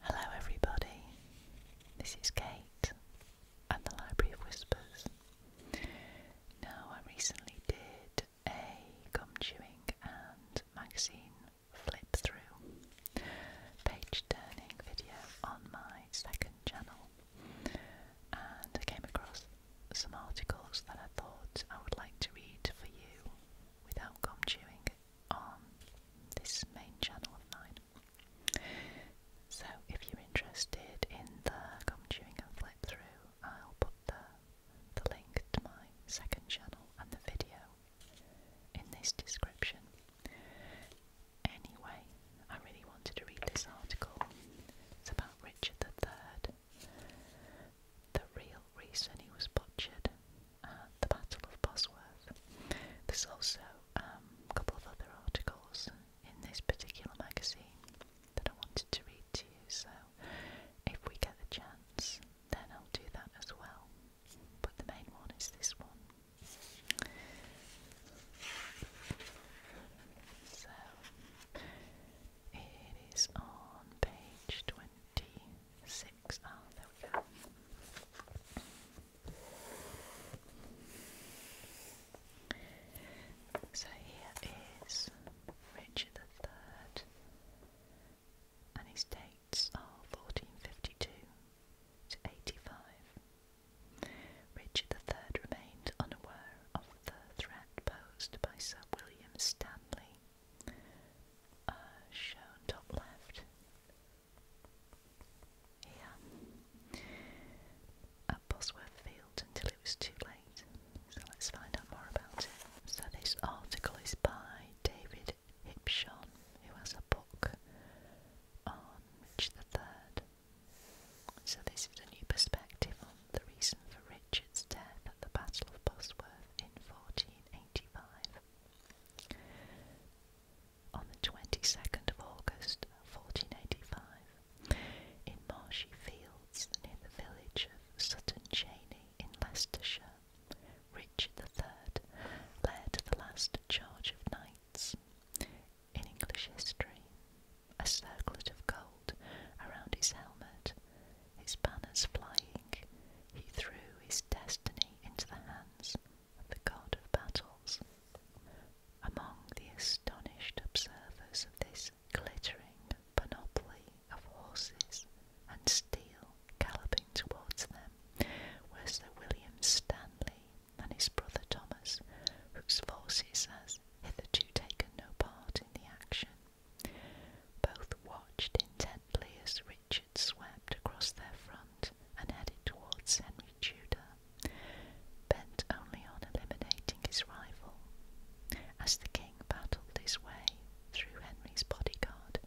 Hello, everybody. This is Kate and the Library of Whispers. Now, I recently did a gum chewing and magazine flip through page turning video on my second channel, and I came across some articles that I thought I would like to read for you without gum chewing on this main channel of mine. So if you're interested in the gum chewing and flip through, I'll put the, the link to my second channel and the video in this description. Anyway, I really wanted to read this article. It's about Richard III, the real reason he was butchered the Battle of Bosworth. There's also um, a couple of other articles in this particular magazine that I wanted to read to you, so if we get the chance, then I'll do that as well. But the main one is this one. So, it is on page 20 six. Oh, there we go. So here is Richard the Third, and his dates are fourteen fifty-two to eighty-five. Richard the Third remained unaware of the threat posed by Sir William Stanley uh, shown top left. Yeah. At Bosworth Field until it was too late. So let's find out more about it. So this article is by David Hipshon, who has a book on Richard III. So this is a new perspective on the reason for Richard's death at the Battle of Bosworth in 1485. On the 22nd of August 1485, in marshy fields near the village of Sutton Cheney in Leicestershire, Richard III led the last charge of knights in English history. A circlet of gold around his helmet, his banners flying, he threw his destiny into the hands of the god of battles. Among the astonished observers of this glittering panoply of horses and steel galloping towards them were Sir William Stanley and his brother Thomas, whose forces has hitherto taken no part in the action. Both watched intently gently as Richard swept across their front and headed towards Henry Tudor, bent only on eliminating his rival. As the king battled his way through Henry's bodyguard,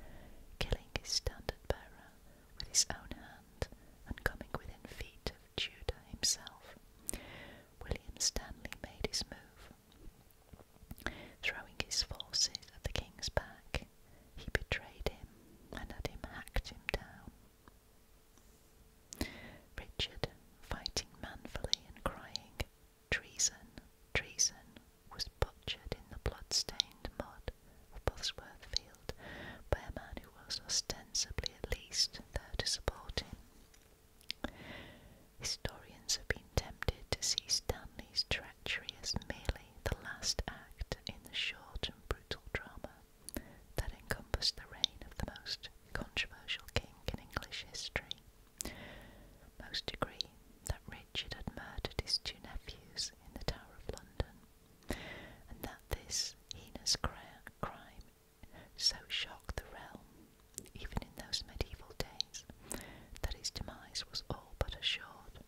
killing his standard bearer with his own hand and coming within feet of Tudor himself, William Stanley made his move. Throwing his forces at the king's back, he betrayed him and had him hacked him down. Richard, fighting manfully and crying, Treason, treason, was butchered in the blood-stained mud of Bosworth Field by a man who was ostensibly at least there to support him. Historians have been tempted to see Stanley's treachery as merely the last act in the short and brutal drama that encompassed the reign of the most controversial king in English history. Most agree that Richard had murdered his two nephews in the Tower of London, and that this heinous crime so shocked the realm, even in those medieval days, that his demise was all but assured.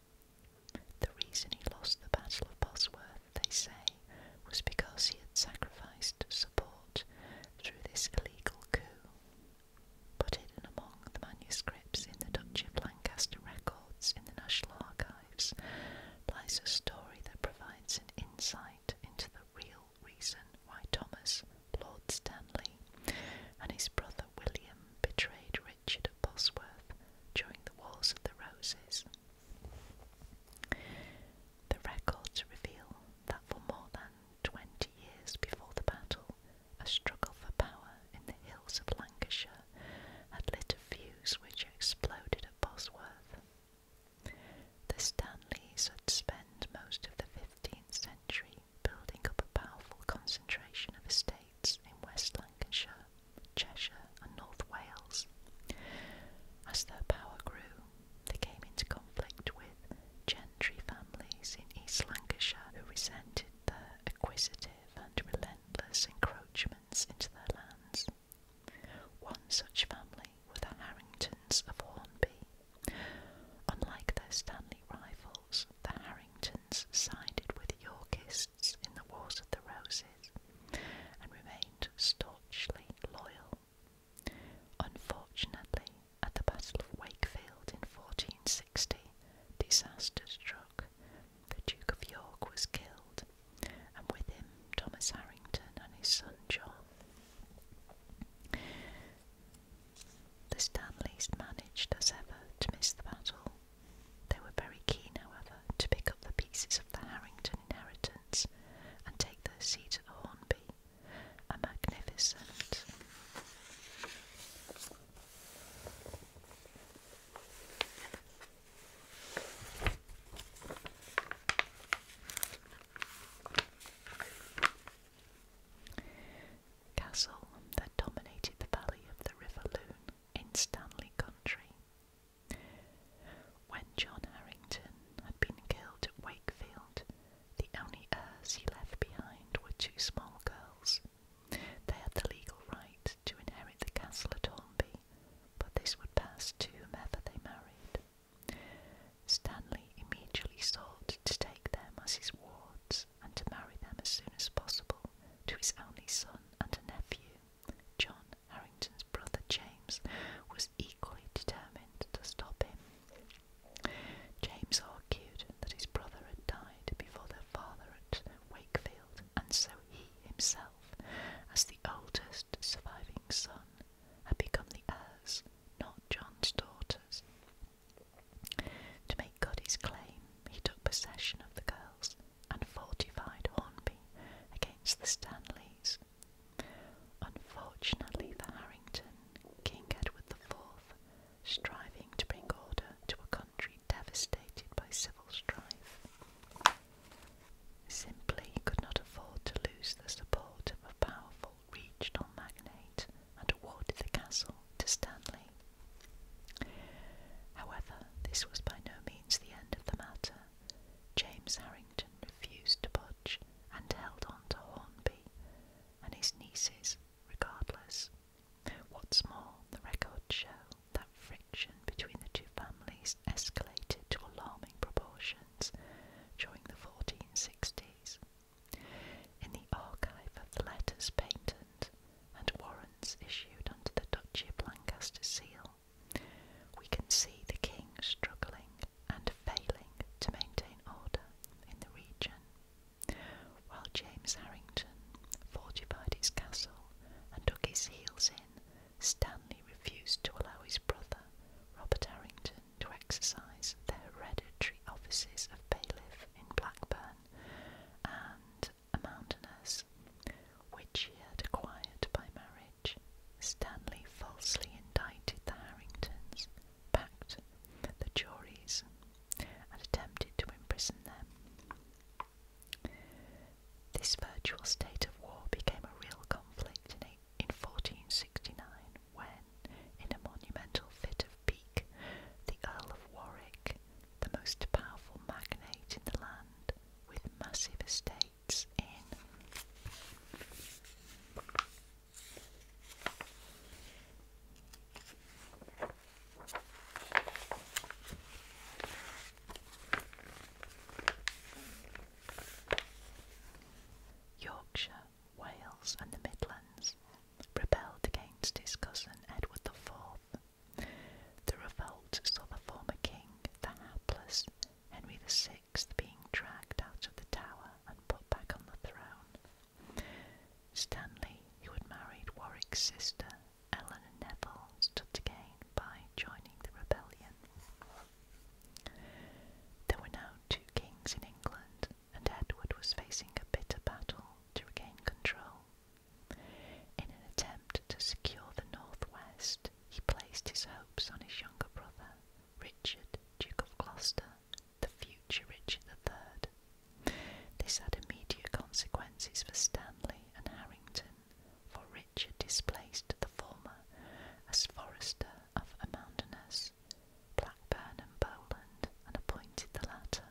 The reason he lost the Battle of Bosworth, they say, was because he had sacrificed support through this illegal coup. But hidden among the manuscripts in the Duchy of Lancaster records in the National Archives lies a story that provides an insight into the real reason why Thomas, Lord Stanley, and his brother William betrayed Richard of Bosworth during the Wars of the Roses. The records reveal that for more than 20 years before the battle, a struggle for power in the hills of Lancashire had lit a fuse which exploded at Bosworth. The Stanleys had spent most of the 15th century building up a powerful concentration of estate in West Lancashire, Cheshire, and North Wales. As their power grew, they came into conflict with gentry families in East Lancashire who resented their acquisitive and relentless encroachments into their lands. One such family were the Harringtons of Hornby. Unlike their Stanley rivals, the Harringtons sided with Yorkists in the Wars of the Roses and remained staunchly loyal. Unfortunately, at the Battle of Wakefield in 1460, disaster struck. The Duke of York was killed, and with him Thomas Harrington and his son John. The Stanleys managed, as ever, to miss the battle, they were very keen, however, to pick up the pieces of the Harrington inheritance and take their seat at Hornby, a magnificent castle that dominated the valley of the River Lune in Stanley Country. When John Harrington had been killed at Wakefield, the only heirs he left behind were two small girls. They had the legal right to inherit the castle at Hornby, but this would pass to whomever they married. Stanley immediately sought to take them as his wards, and to marry them as soon as possible to his only son and a nephew. John Harrington's brother James was equally determined to stop him. James argued that his brother had died before their father at Wakefield, and so he himself, as the oldest surviving son, had become the heirs, not John's daughters. To make good his claim, he took possession of the girls and fortified Hornby against the Stanleys. Unfortunately the Harrington, King Edward IV, striving to bring order to a country devastated by civil strife, simply could not afford to lose the support of a powerful regional magnate and awarded the castle to Stanley. However, this was by no means the end of the matter. James Harrington refused to budge and held on to Hornby and his nieces, regardless. What's more, the records show that friction between the two families escalated to alarming proportions during the 1460s. In the archive of the letters patent and warrants issued under the Duchy of Lancaster seal, we can see the king struggling and failing to maintain order in the region, while James Harrington fortified his castle and dug his heels in. Stanley refused to allow his brother, Robert Harrington, to exercise the hereditary offices of bailiff in Blackburn and a mountainess, which he had acquired by marriage. Stanley falsely indicted the Harringtons, packed the juries, and attempted to imprison them. This virtual state of war became a real conflict in 1469 when, in a monumental fit of pique, the Earl of Warwick the most powerful magnate in the land with massive estates in. Yorkshire, Wales, and the Midlands rebelled against his cousin Edward IV the revolt saw the former king, the hapless Henry VI, being dragged out of the tower and put back on the throne. Stanley, who had married Warwick's sister, Eleanor Neville, stood to gain by joining the rebellion. There were now two kings in England, and Edward was facing a bitter battle to regain control. In an attempt to secure the northwest, he placed his hopes on his younger brother, Richard, Duke of Gloucester, the future Richard III. This had immediate consequences for Stanley and Harrington, for Richard displaced the former as Forester of Amounderness, Blackburn and Bowland, and appointed the latter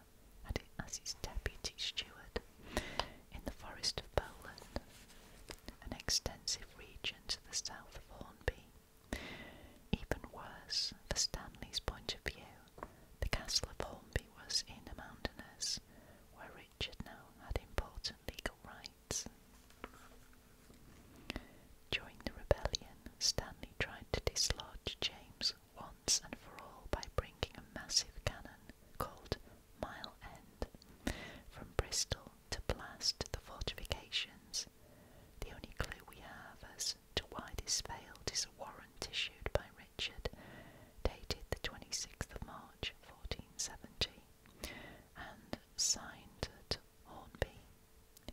as his deputy steward in the forest of Poland, an extensive region to the south of Hornby. Even worse, for Stanley's point of view, the castle of Hornby was in the mountainous, where Richard now had important legal rights. During the rebellion, Stanley tried to dislodge James once and for all by bringing a massive cannon called Mile End. From Bristol to blast the fortifications. The only clue we have as to why this failed is a warrant issued by Richard, dated the 26th of March 1470, and signed at Hornby.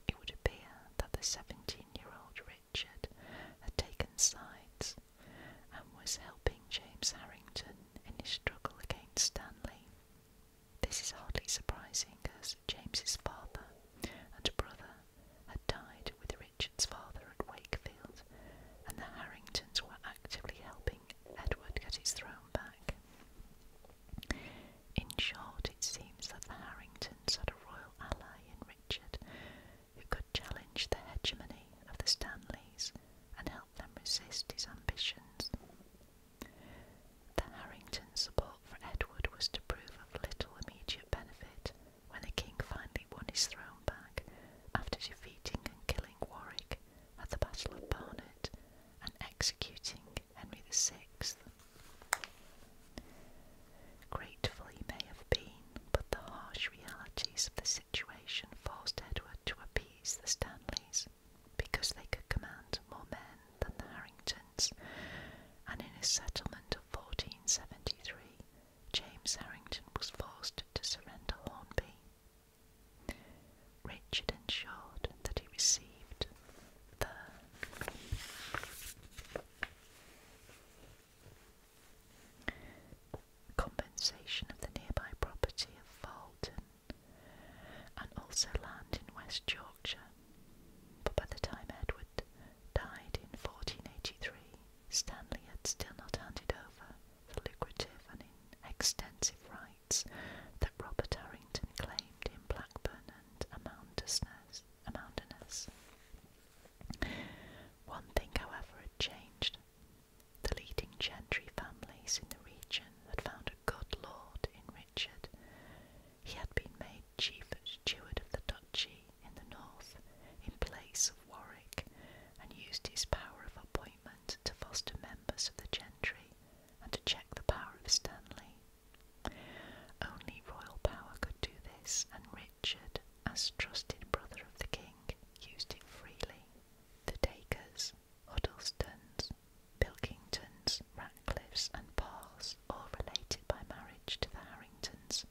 It would appear that the 17 year old Richard had taken sides and was helping James Harrington in his struggle against Stanley. This is hardly surprising as James's father and brother had died with Richard's father at Wakefield, and the Harringtons were actively helping Edward get his throne back. In short, it seems that the Harringtons had a royal ally in Richard who could challenge the hegemony of the Stanleys and help them resist his ambitions. The Harringtons' support for Edward was to prove of little immediate benefit when the king finally won his throne back after defeating and killing Warwick at the Battle of Barnet and executing Henry VI. Grateful he may have been, but the harsh realities of the situation forced Edward to appease the Stanleys because they could command more men than the Harringtons, and in his settlement of 1473, James Harrington was forced to surrender Hornby. Richard ensured that he received the compensation of the nearby property of Falton, and also land in West Yorkshire. But by the time Edward died in 1483, Stanley had still not handed over the lucrative and extensive rights that Robert Harrington claimed in Blackburn and Amounderness. One thing, however, had changed. The leading gentry families in the region had found a good lord in Richard. He had been made chief steward of the duchy in the north in place of Warwick and used his power of appointment to foster members of the gentry and to check the power of Stanley. Only royal power could do this, and Richard, as trusted brother of the king, used it freely. The Dakers, Huddlestons, Pilkingtons, Ratcliffes, and Parrs, all related by marriage to the Harringtons,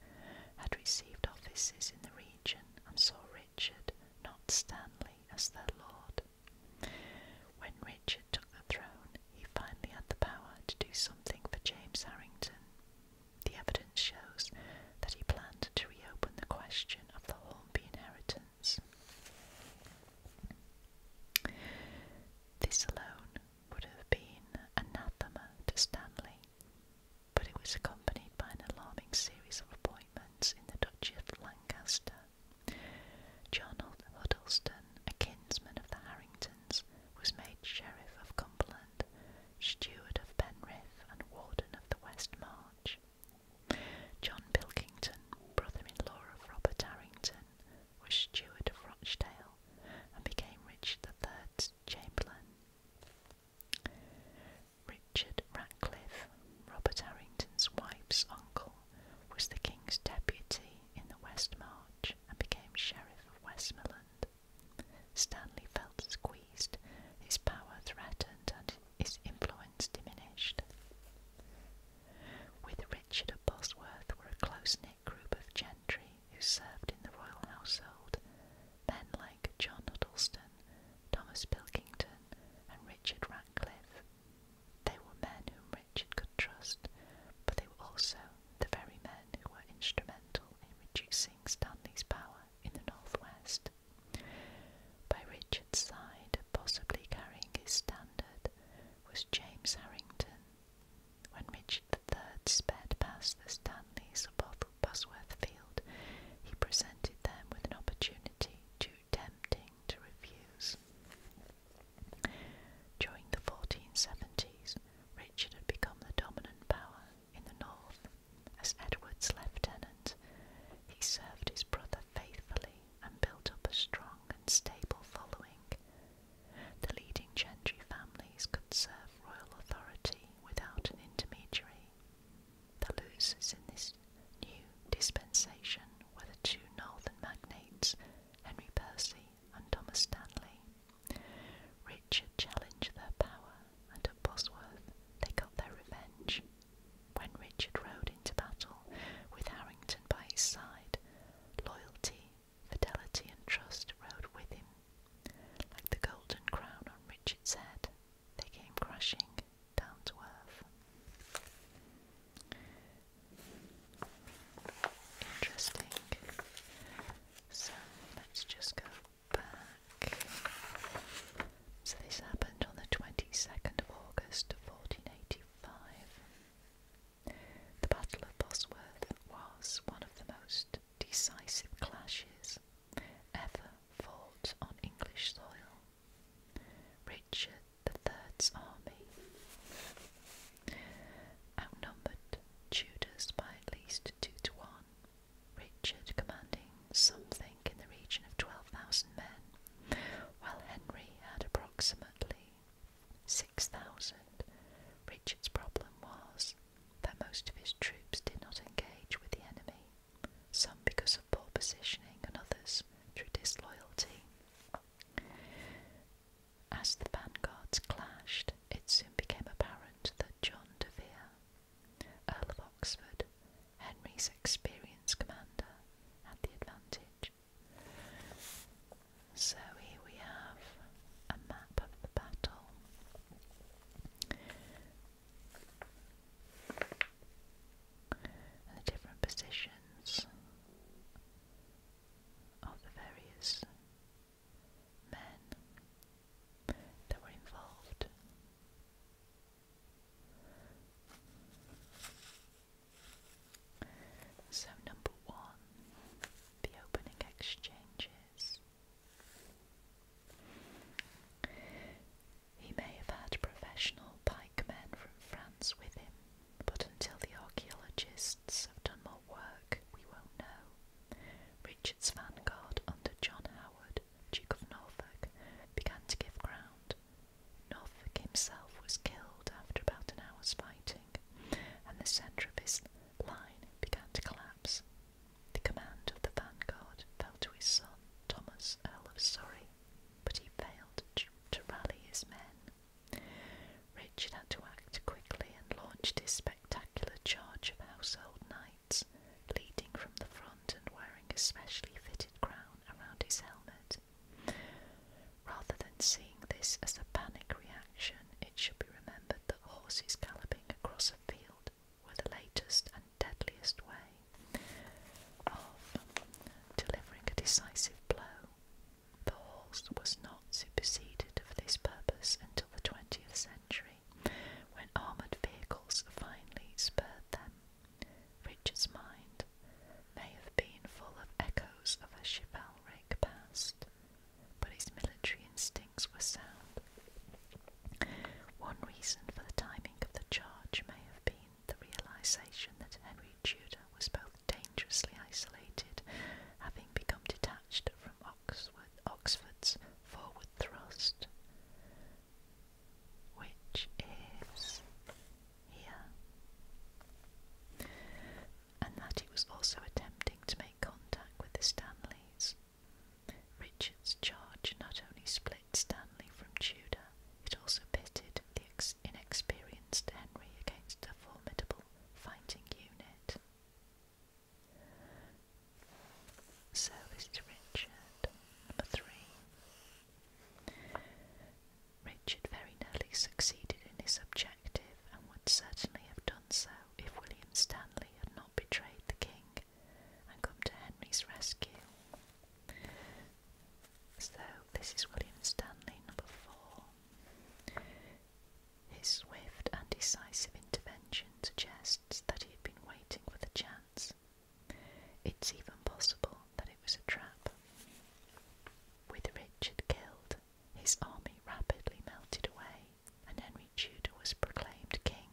had received offices in the region and saw Richard, not Stanley, as their lord. When Richard took the throne, he finally had the power to do something for James Harrington. The evidence shows that he planned to reopen the question of the Hornby inheritance. This alone would have been anathema to Stanley, but it was accompanied by an alarming series of appointments in the Duchy of Lancaster. John Huddleston, a kinsman of the Harringtons, was made Sheriff of Cumberland, Steward of Penrith, and Warden of the West March. John Bilkington, brother-in-law of Robert Harrington, was steward of Rochdale and became Richard the Third's chamberlain. Richard Ratcliffe, Robert Harrington's wife's uncle, was the king's deputy in the West March and became sheriff of Westmoreland. Stanley Phelps Queen his power threatened, and his influence diminished. With Richard Bosworth were a close knit group of gentry who served in the royal household, men like John Huddleston, Thomas Pilkington, and Richard Ratcliffe. They were men whom Richard could trust, but they were also the very men who were instrumental in reducing Stanley's power in the northwest. By Richard's side, possibly carrying his standard, was James Harrington. When Richard III sped past the Stanleys of Bosworth Field, he presented them with an opportunity too tempting to refuse. During the 1470s, Richard had become the dominant power in the north, as Edward's lieutenant, he served his brother faithfully and built up a strong and stable following. The leading gentry families could serve royal authority without an intermediary. The losers in this new dispensation were the two northern magnates, Henry Percy and Thomas Stanley. Richard challenged their power and at Bosworth they got their revenge. When Richard rode into battle with Harrington by his side, loyalty, fidelity, and trust rode with him. Like the golden crown on Richard's head, they came crashing down to earth. Interesting. So let's just go so this happened on the 22nd of August 1485. The Battle of Bosworth was one of the most decisive clashes ever fought on English soil. Richard III's army outnumbered Tudors by at least two to one Richard commanding something in the region of 12,000 men, while Henry had approximately 6,000. Richard's problem was that most of his troops did not engage with the enemy, some because of poor positioning and others through disloyalty. As the vanguards clashed, it soon became apparent that John de Vere Earl of Oxford, Henry's experienced commander, had the advantage. So here we have a map of the battle. And the different positions of the various men that were involved. So, number one, the opening exchanges. He may have had professional pikemen from France with him, but until the archaeologists have done more work, we won't know. Richard's vanguard under John Howard Duke of Norfolk, began to give ground. Norfolk himself was killed after about an hour's fighting, and the centre of his line began to collapse. The command of the vanguard fell to his son, Thomas, Earl of Surrey, but he failed to rally his men. Richard had to act quickly and launched his spectacular charge of household knights leading from the front and wearing a specially fitted crown around his helmet. Rather than seeing this as a panic reaction, it should be remembered that horses galloping across a field were the latest and deadliest way of delivering a decisive blow. The horse was not superseded for this purpose until the 20th century, when armoured vehicles finally spurred them. Richard's mind may have been full of echoes of a chivalric past, but his military instincts were sound. One reason for the timing of the charge may have been the realization that Henry Tudor was both dangerously isolated, having become detached from Oxford's forward thrust, which is here, and that he was also attempting to make contact with the Stanleys. Richard's charge not only split Stanley from Tudor, it also pitted the inexperienced Henry against a formidable fighting unit. So this Richard, number three. Richard very nearly succeeded in his objective and would certainly have done so if William Stanley had not betrayed the king and come to Henry's rescue. So, this is William Stanley, number four. His swift and decisive intervention suggests that he had been waiting for the chance it's even possible that it was a trap. With Richard killed, his army rapidly melted away, and Henry Tudor was proclaimed king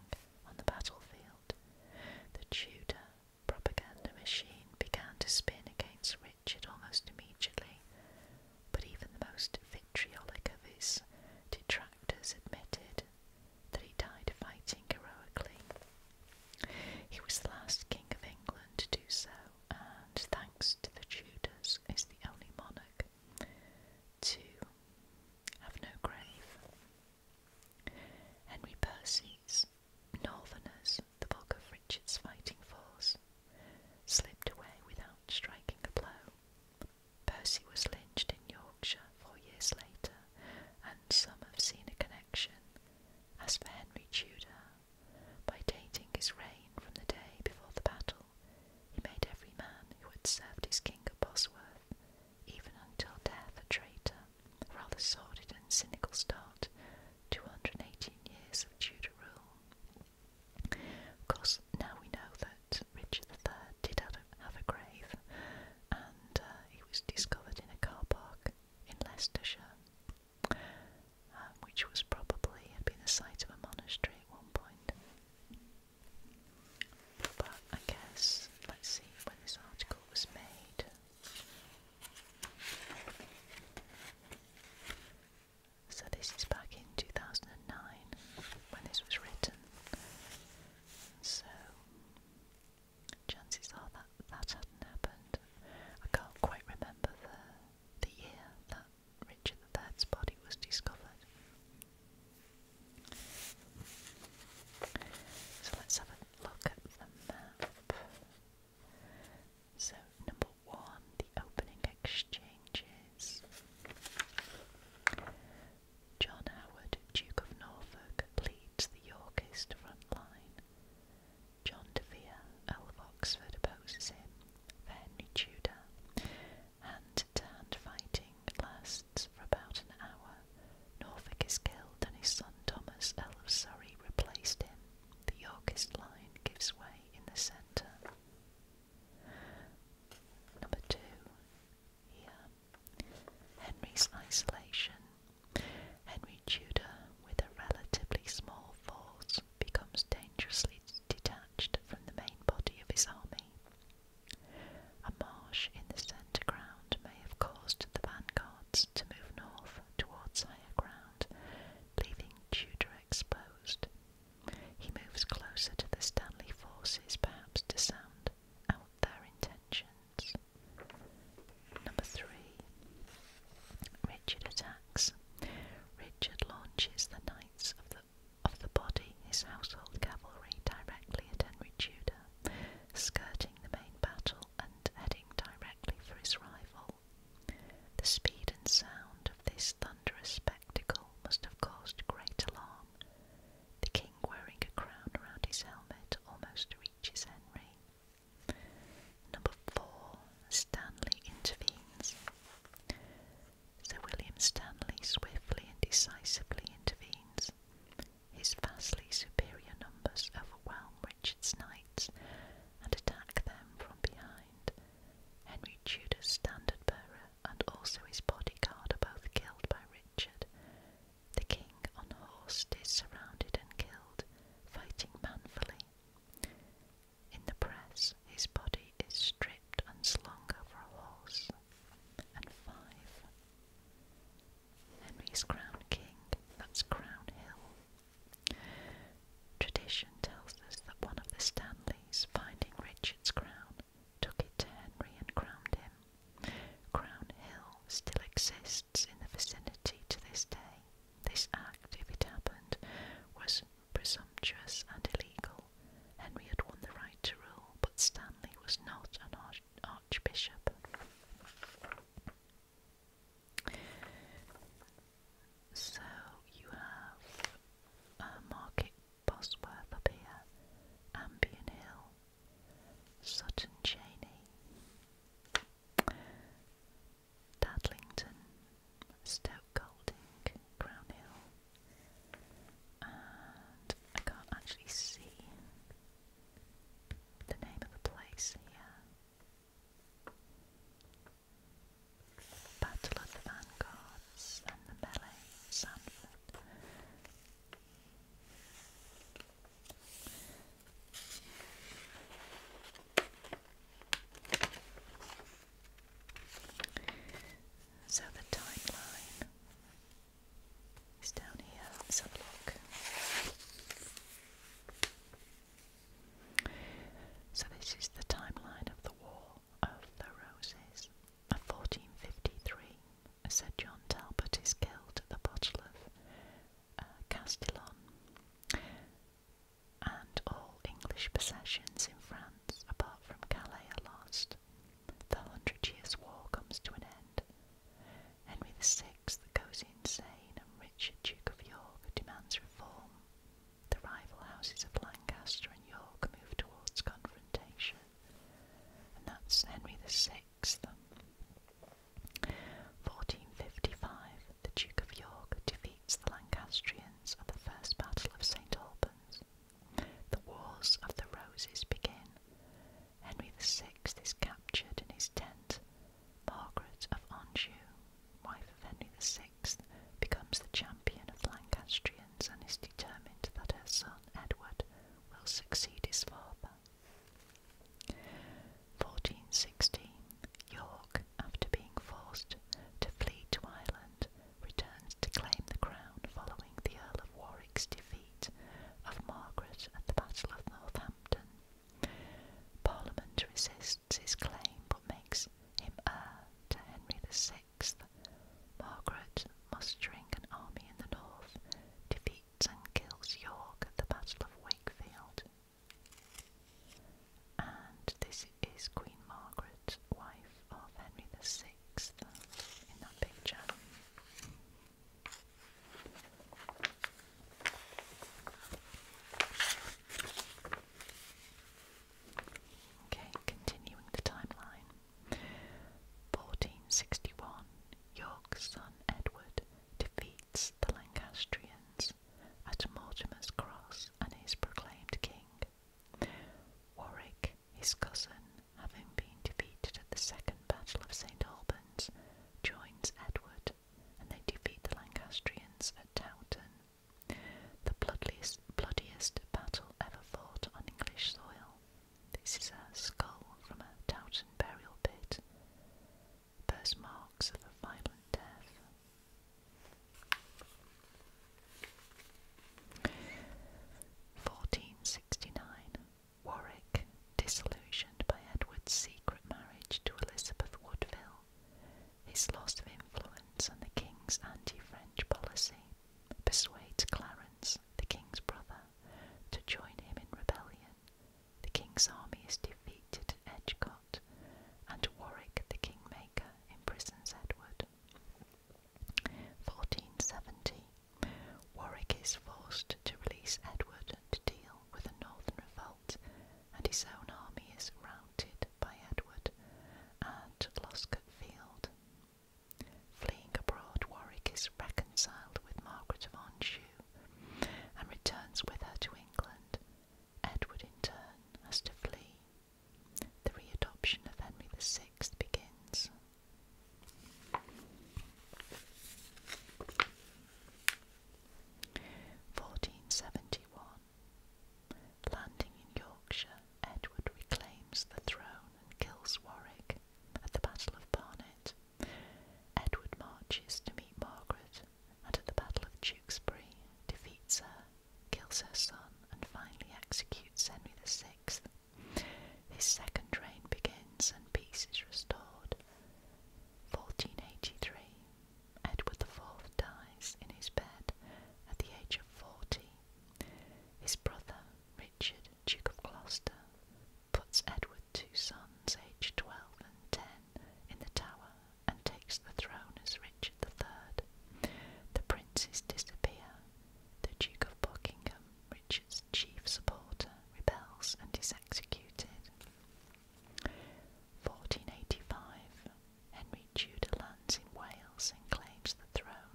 on the battlefield. The Tudor propaganda machine began to spin against Richard almost immediately, but even the most vitriolic of his detractors admitted that he died fighting heroically. He was the last King of England to do so, and thanks to the Tudors, is the only monarch to have no grave. Henry Percy's Northerners, the bulk of Richard's fighting force, slipped away without striking a blow. Percy was lynched in Yorkshire four years later some have seen a connection, as for Henry Tudor, by dating his reign from the day before the battle, he made every man who had served his king at Bosworth, even until death, a traitor, rather sordid and cynical start, 218 years of Tudor rule. Of course, now we know that Richard III did have a, grave, and uh, was discovered in a car park in Leicestershire, um, which was probably had been the site of a monastery at one point. But I guess let's see when this article was made. So this is back in 2009 when this was written. So chances are that that hadn't happened. I can't quite remember the the year that Richard III's body was discovered. So let's have a look at the map. So number one, the opening exchanges. John Howard Duke of Norfolk pleads the Yorkist front line. John de Vere, Earl of Oxford, opposes him. Henry Tudor. Hand-to-hand fighting lasts for about an hour. Norfolk is killed and his son Thomas, Earl of Surrey, replaced him. The Yorkist line gives way in the centre. Number two, here Henry's isolation. Henry Tudor, with a relatively small force, becomes dangerously detached from the main body of his army. A marsh in the centre ground may have caused the vanguards to move north towards higher ground, leaving Tudor exposed. He moves closer to the Stanley forces, perhaps to sound out their intentions. Number three, Richard attacks. Richard launches the Knights of the of the body, his household cavalry, directly at Henry Tudor, skirting the main battle and heading directly for his rival. The speed and sound of this thunderous spectacle must have caused great alarm. The king, wearing a crown around his helmet, almost reaches Henry. Number four, Stanley intervenes. Sir William Stanley swiftly and decisively intervenes. His vastly superior numbers overwhelm Richard's knights and attack them from behind. Henry Tudor's standard bearer and also his bodyguard are both killed by Richard, the king on horse is surrounded and killed, fighting manfully. In the press, his body is stripped and slung over a horse. And five, Henry's crown king, that's Crown Hill. Tradition tells us that one of the Stanleys, finding Richard's crown, took it to Henry and crowned him. Crown Hill still exists in the vicinity to this day. This act, if it happened, was presumptuous and illegal. Henry had won the right to rule, but Stanley was not an archbishop. So you have uh, Market Bosworth up here, Ambion Hill, Sutton Cheney, Dudlington, Stoke Golding, Crown Hill, I can't actually see the name of the place here. Battle of the Vanguards and the Melee, Sanford. So the timeline is down here. let look. So this is the timeline of the War of the Roses of 1453. Sir John Talbot is killed at the Battle of uh, Castillon, and all English possessions in France apart from Calais are lost. The Hundred Years' War comes to an end. Henry VI goes insane, and Richard, Duke of York, demands reform. The rival houses of Lancaster and York move towards confrontation. And that's Henry VI 1455, the Duke of York defeats the Lancastrians at the First Battle of St. Albans. The Wars of the Roses begin. Henry VI is captured in his tent. Margaret of Anjou, wife of Henry VI, becomes the champion of Lancastrians and is determined that her son Edward will succeed his father. 1416, York, after being forced to flee to Ireland, returns to claim the crown following the Earl of Warwick's defeat of Margaret at the Battle of Northampton. Parliament resists his claim but makes him heir to Henry VI. Margaret, mustering an army in the north, defeats and kills York at the Battle of Wakefield. And this is Queen Margaret, wife of Henry VI, uh, in that picture. Okay, continuing the timeline. 1461, York's son Edward defeats the Lancastrians at Mortimer's Cross and is proclaimed king. Warwick, his cousin, having been defeated at the Second Battle of St. Albans, joins Edward and they defeat the Lancastrians at Towton, the bloodiest, bloodiest battle ever fought on English soil. This is a skull from a Towton burial pit first marks of a violent death. 1469 Warwick, disillusioned by Edward's secret marriage to Elizabeth Woodville, his loss of influence and the king's anti-French policy persuades Clarence, the king's brother, to join him in rebellion the king's army is defeated at Edgecote, and Warwick the Kingmaker imprisons Edward. 1470. Warwick is forced to release Edward to deal with a northern revolt, and his own army is routed by Edward at Loscott Field. Fleeing abroad, Warwick is reconciled with Margaret of Anjou, and returns with her to England. Edward, in turn, has to flee. The re-adoption of Henry VI begins. Fourteen seventy one. Landing in Yorkshire, Edward reclaims the throne and kills Warwick at the Battle of Barnet. Edward marches to meet Margaret and at the Battle of Tewkesbury defeats her, kills her son, and finally executes Henry VI. His second reign begins and peace is restored. 1483, Edward IV dies in his bed at the age of 40. His brother, Richard, Duke of Gloucester, puts Edward two sons, aged twelve and ten, in the tower and takes the throne as Richard III. The princes disappear. The Duke of Buckingham, Richard's chief supporter, rebels and is executed. 1485 Henry Tudor lands in Wales and claims the throne.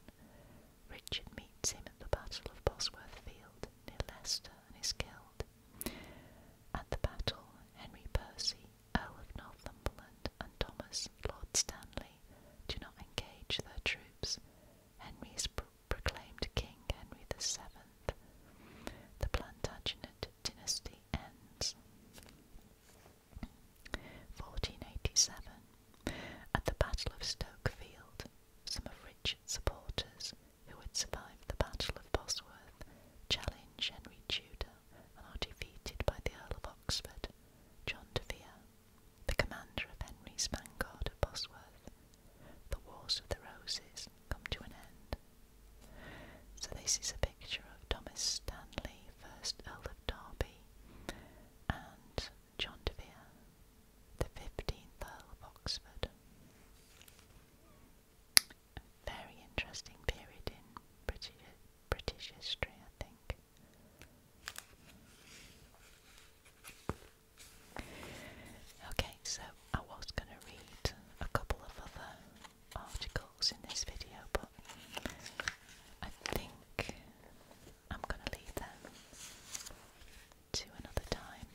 Richard meets him at the Battle of Bosworth Field near Leicester and is killed. At the battle, Henry Percy, Earl of Northumberland, and Thomas, Lord Stanley, do not engage their troops. Henry proclaimed King Henry VII. The Plantagenet dynasty ends. 1487. At the Battle of Stoke Field, some of Richard's supporters, who had survived the Battle of Bosworth, challenge Henry Tudor and are defeated by the Earl of Oxford, John de Vere, the commander of Henry's vanguard at Bosworth. The Wars of the Roses come to an end. So this is a picture of Thomas Stanley, first Earl of Derby, and John de Vere, the 15th Earl of Oxford very interesting period in British, British history, I think. Okay, so I was going to read a couple of other articles in this video, but I think I'm going to leave them to another time.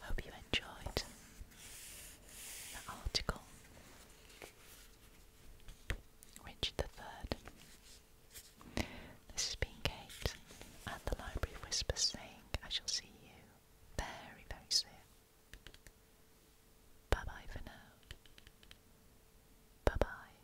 Hope you enjoyed the article. Richard the Third. This has been Kate and the Library Whisper Whispers saying I shall see you very, very soon. Bye bye for now. Bye bye.